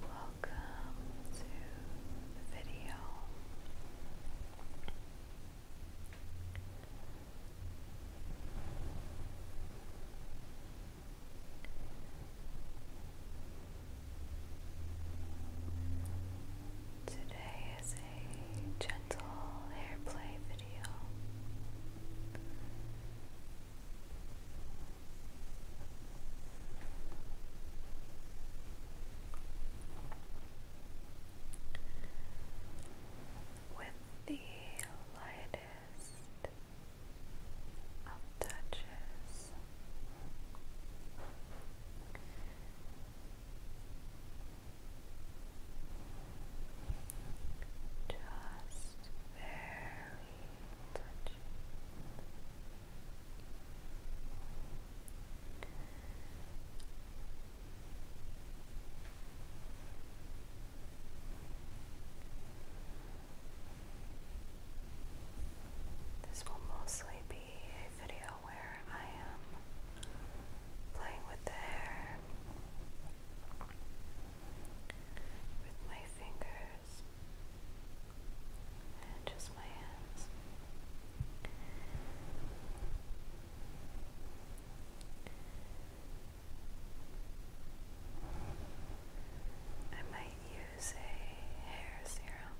Welcome to the video. Today is a gentle hair play video. With the lightest of touches, just very touchy. This will mostly be a video where I am playing with the hair with my fingers and just my hands. I might use a hair serum.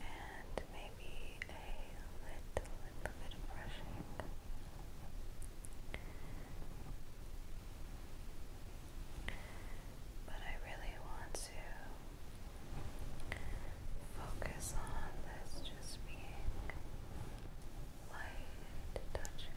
And maybe a little, bit of brushing. But I really want to focus on this just being light touches.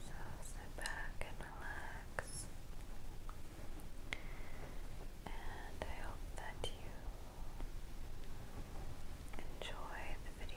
So sit back and relax. And I hope that you enjoy the video.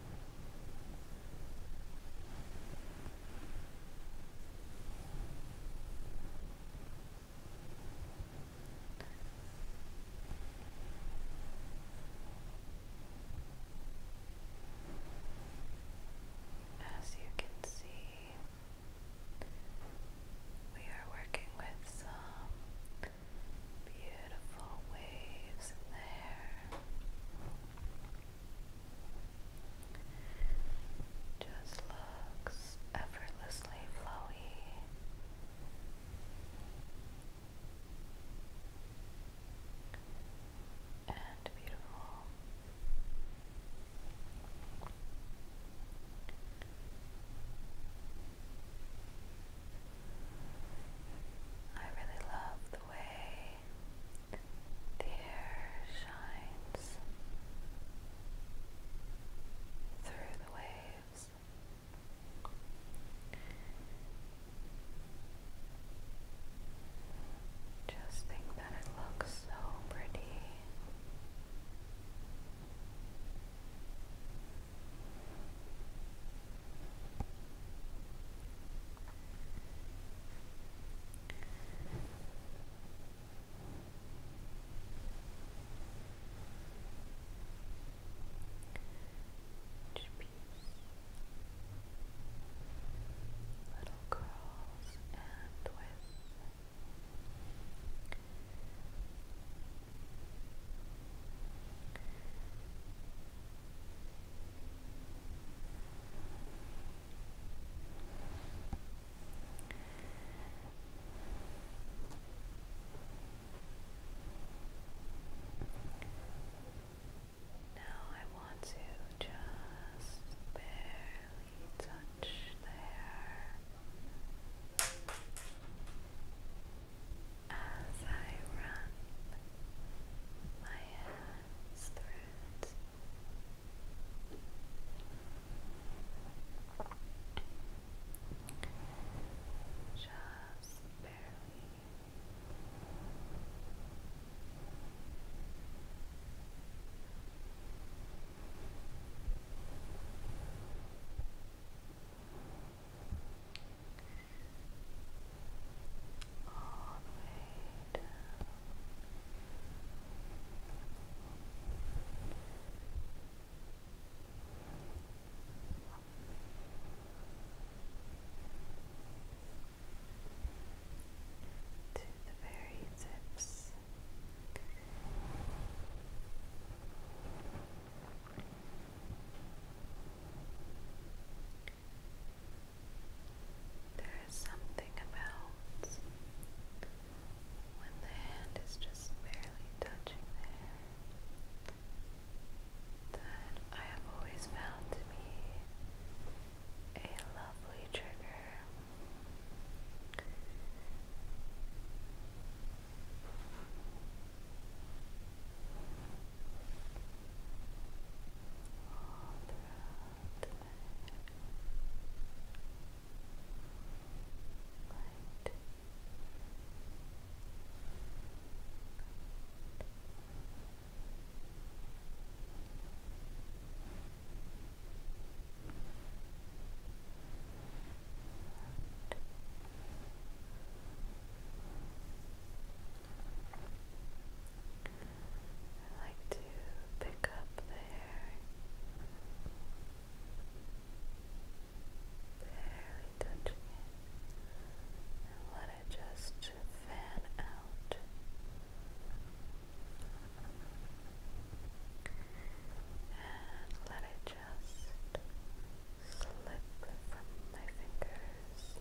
As you can see, we are working with some beautiful waves in the just looks effortlessly flowy. And beautiful. I really love the way the air shines through the waves. Just think that it looks so pretty. Each little curls and twists. Now I want to just barely touch the as I run my hands through it. Just barely all the way down. To the very tips. There is something about when the hand is just barely touching the that I have always found to be a lovely trigger all throughout the Light. I like to pick up the barely touching it, and let it just fan out. And let it just slip from my fingers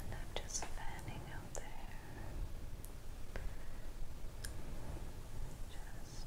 And I'm just fanning out there. Just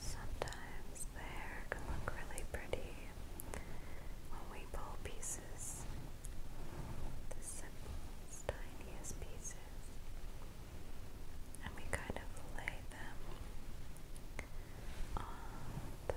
Sometimes the hair can look really pretty when we pull pieces, the simplest, tiniest pieces, and we kind of lay them on top.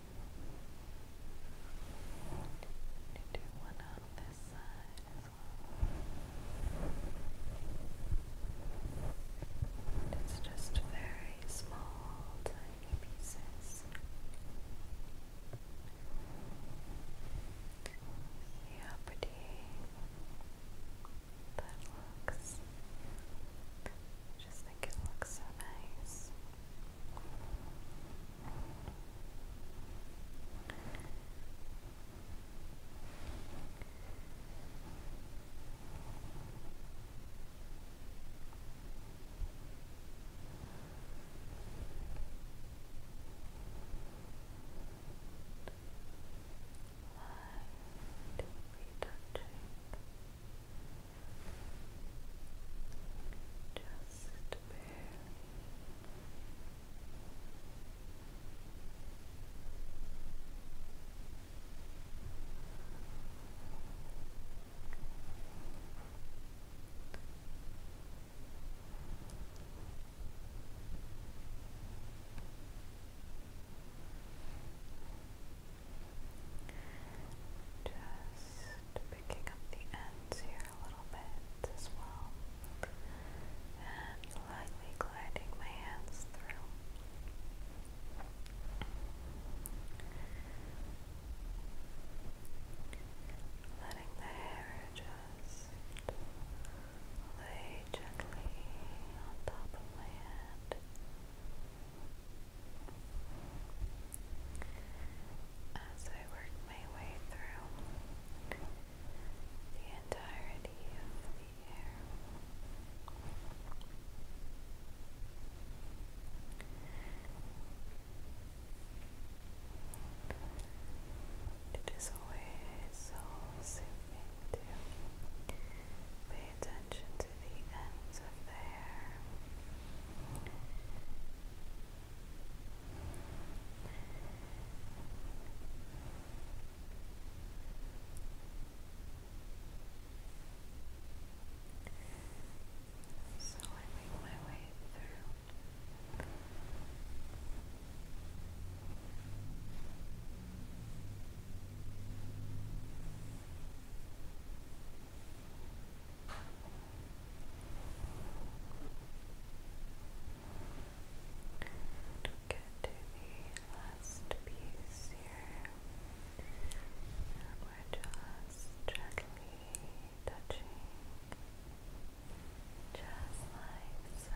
to do one on this side as well. it's just very small, tiny pieces. See pretty that looks. I just think it looks so nice. Why do we just barely. Just picking up the ends here a little bit as well, and lightly gliding my hands through. Letting the hair just lay gently on top of my hand. As I work my way through the entirety of the air, it is always so soothing to pay attention to the ends of the hair. So I make my way through. We'll get the last piece here. we're just gently touching, just like so.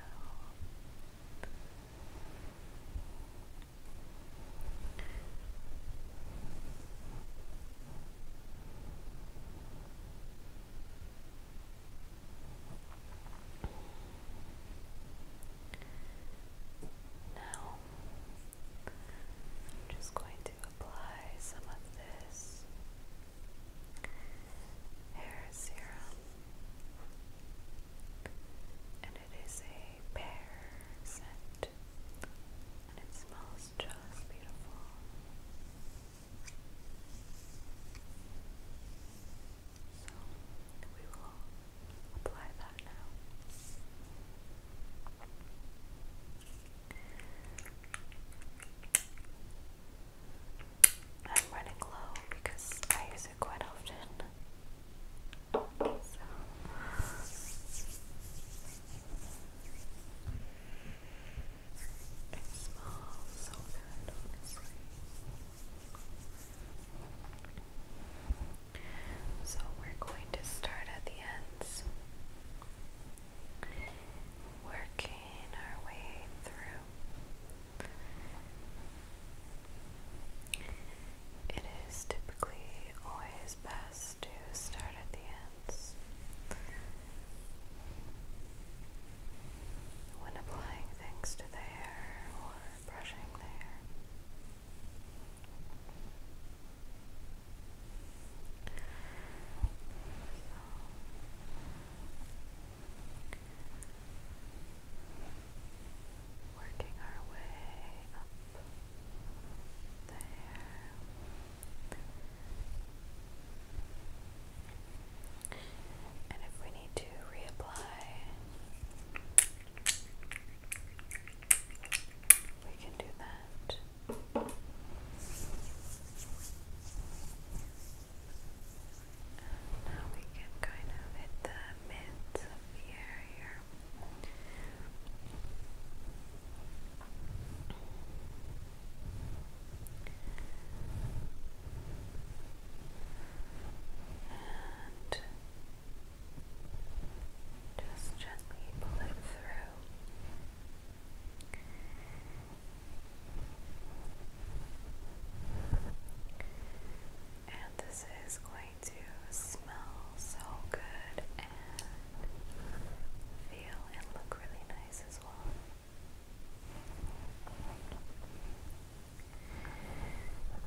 Now, I'm just going to apply some of this hair serum, and it is a pear scent and it smells just beautiful. So we will apply that now. I'm running low because I use it quite often. It smells so good, So we're going to start at the ends, working our way through. It is typically always best to start at the end dots. When applying things to the hair or brushing the hair. working our way up the and if we need to reapply, we can do that. now we can kind of hit the mids of the hair and just gently pull it through. And this is going to smell so good and feel and look really nice as well.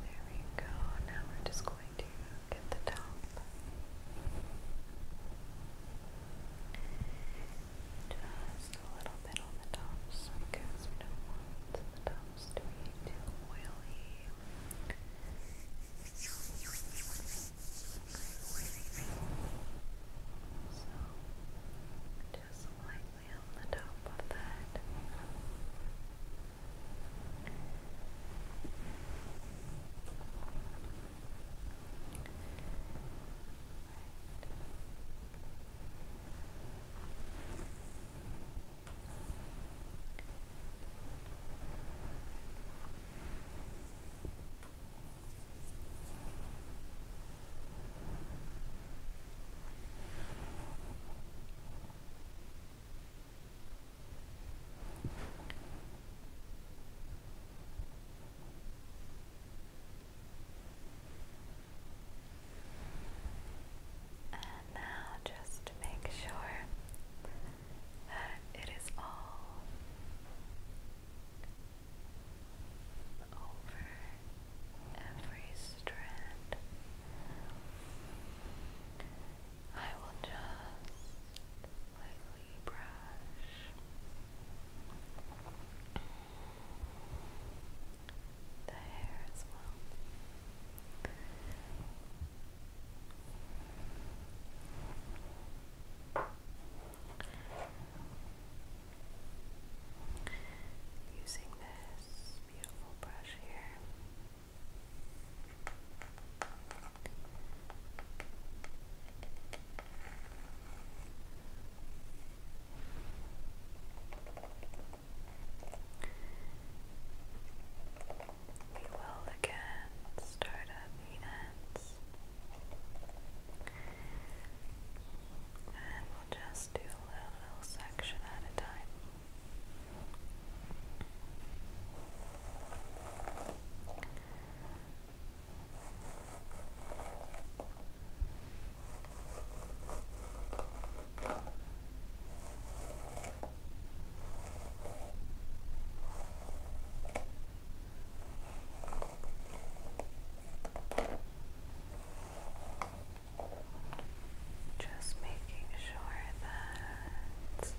There we go. Now we're just going to get the top. Just a little bit on the tops because we don't want the tops to be too oily. So, just lightly on the top of that. Right. And now, just make sure that it is all over every strand. I will just lightly brush the hair as well. Using this beautiful brush here we will again start at the ends and we'll just do a little section at a time. Just making sure that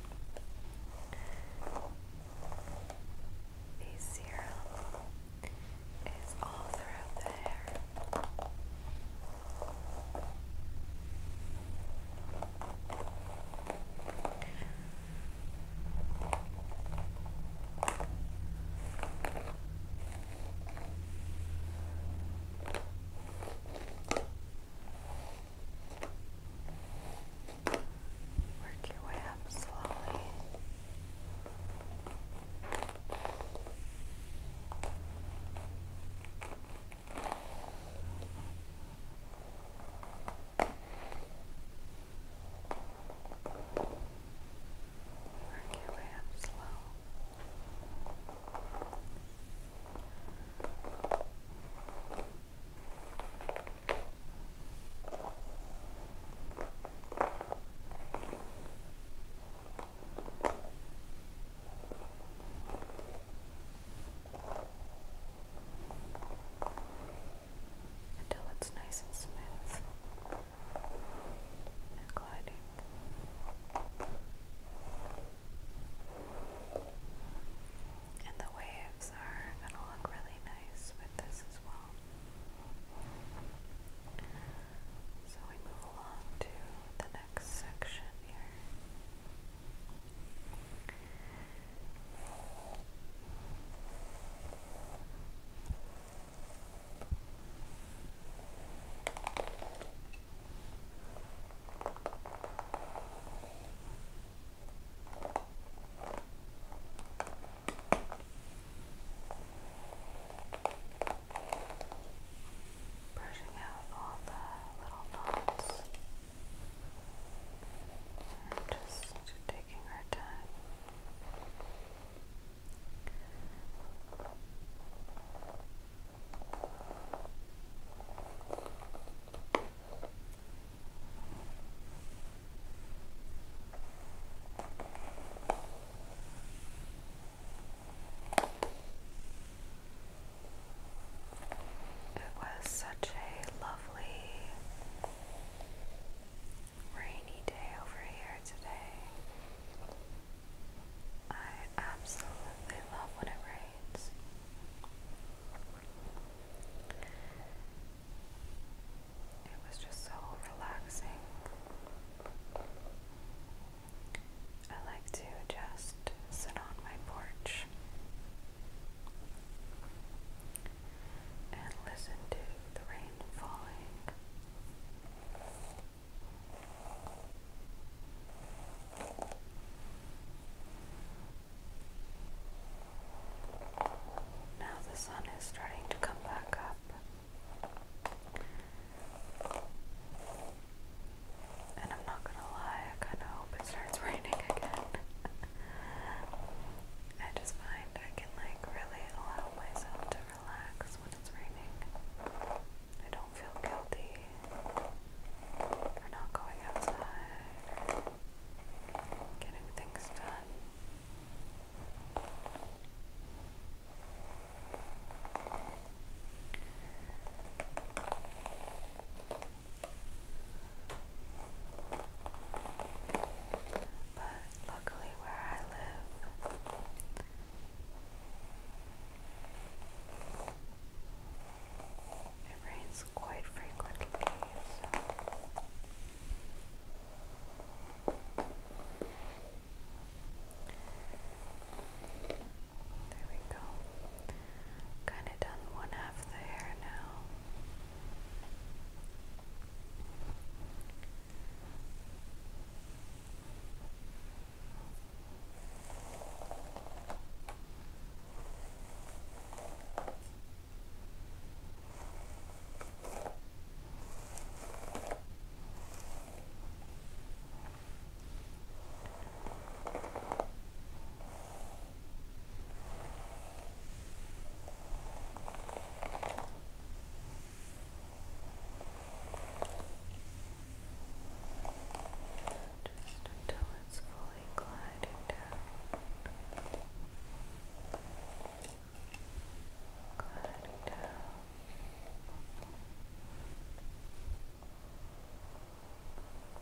the serum is all throughout the hair. Work your way up slowly. Work your way up slow. Good until it's nice and smooth and gliding. And the waves are going to look really nice with this as well. So we move along to the next section here. Brushing out all the little knots. I'm just taking our time. It was such a lovely rainy day over here today. I absolutely love when it rains. It was just so relaxing. I like to just sit on my porch and listen to the rain falling. Now the sun is starting to come back up. And I'm not gonna lie, I kinda hope it starts raining again. I just find I can like really allow myself to relax when it's raining. I don't feel guilty for not going outside or getting things done. But luckily, where I live, it rains quite frequently, There we go. Kind of done one half of the hair now. Just until it's fully gliding down. Gliding down.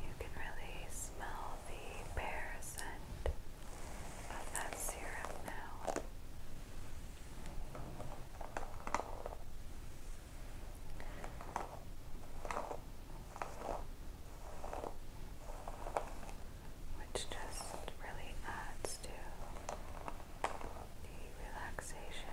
You can really smell the pear scent of that syrup now. Which just really adds to Relaxation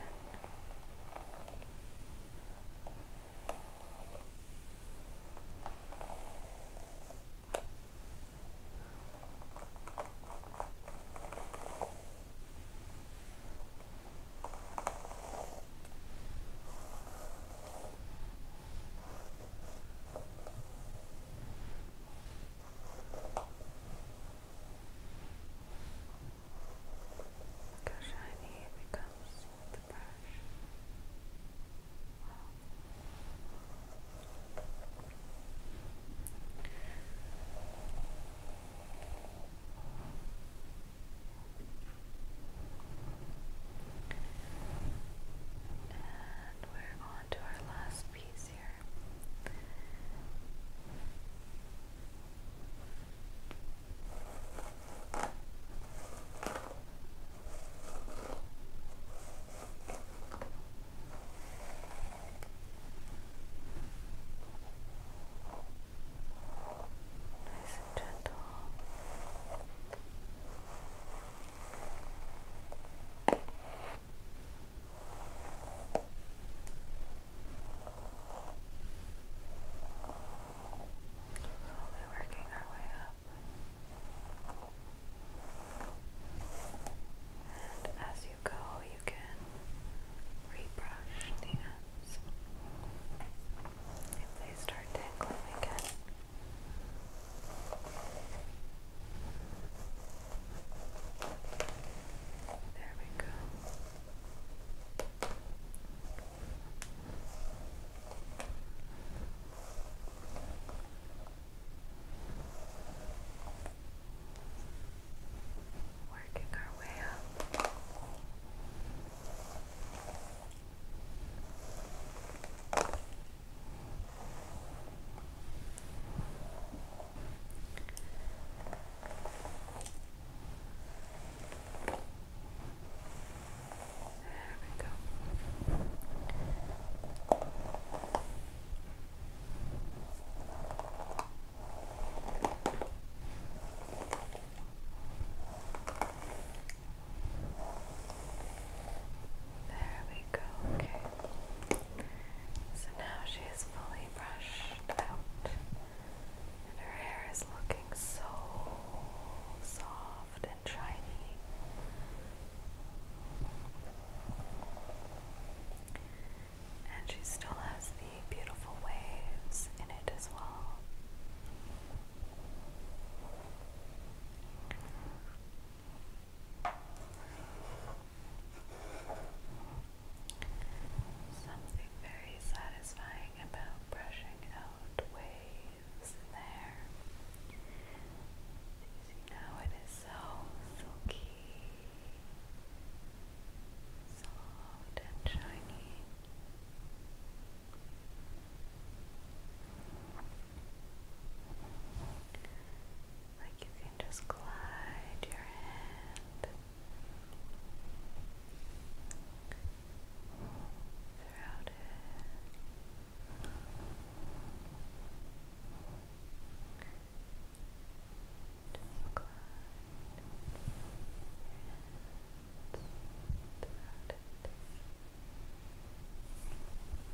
Look how shiny it becomes the brush. And we're on our last piece. Nice and gentle. Slowly working our way up. And as you go, you can rebrush the ends. If they start tickling again. There we go. Working our way up. There we go. There we go, okay. So now she is fully brushed out, and her hair is looking so soft and shiny. And she still has the beautiful waves in it as well. Something very satisfying about brushing out waves in the hair. As you it is so silky, soft, and shiny. Like you can just glide your hand throughout it. Just glide your hands throughout it.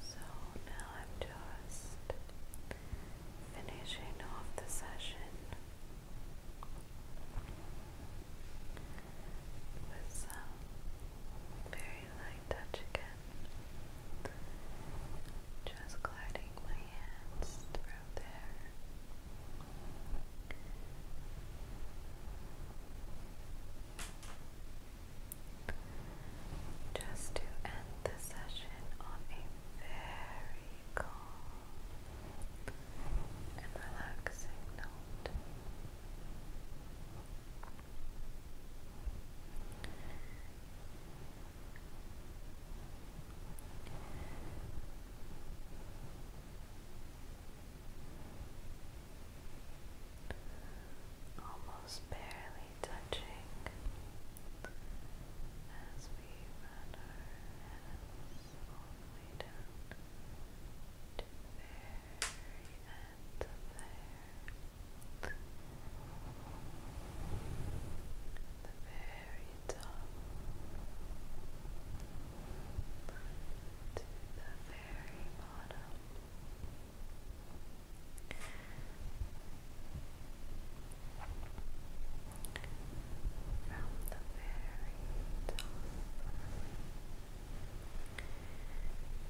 So now I'm just finishing off the session with some very light touch again, just gliding my hands through there just to end the session on a very calm and relaxing note. Almost barely touching as we run our hands all the way down to the very end of the The very top to the very bottom. From the very top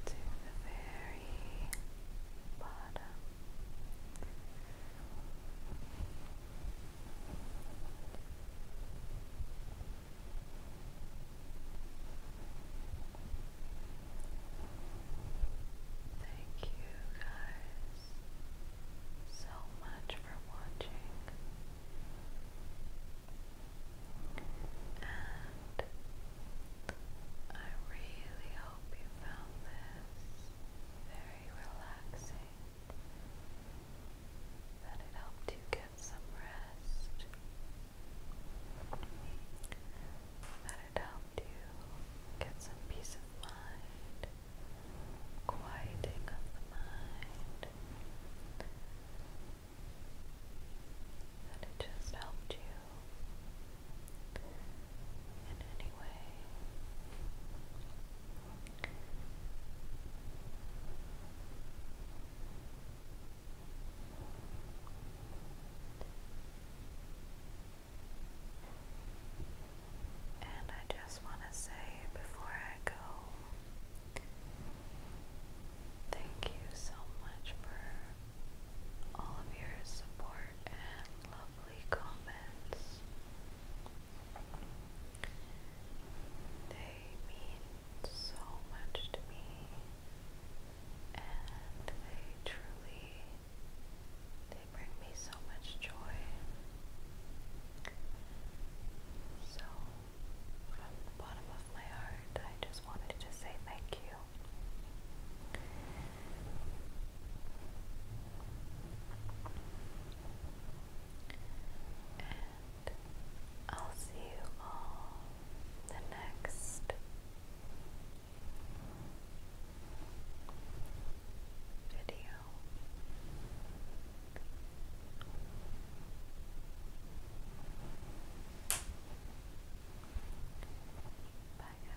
to the very bottom. Thank you guys so much for watching. And I really hope you found this very relaxing, that it helped you get some rest, that it helped to get some peace of mind, quieting of the mind. And it just helped you in any way. And I just want to say before I go, thank you so much for all of your support and lovely comments. They mean so much to me and they truly they bring me so much joy. So, from the bottom of my heart, I just wanted to say thank you. And I'll see you all the next video. Bye guys.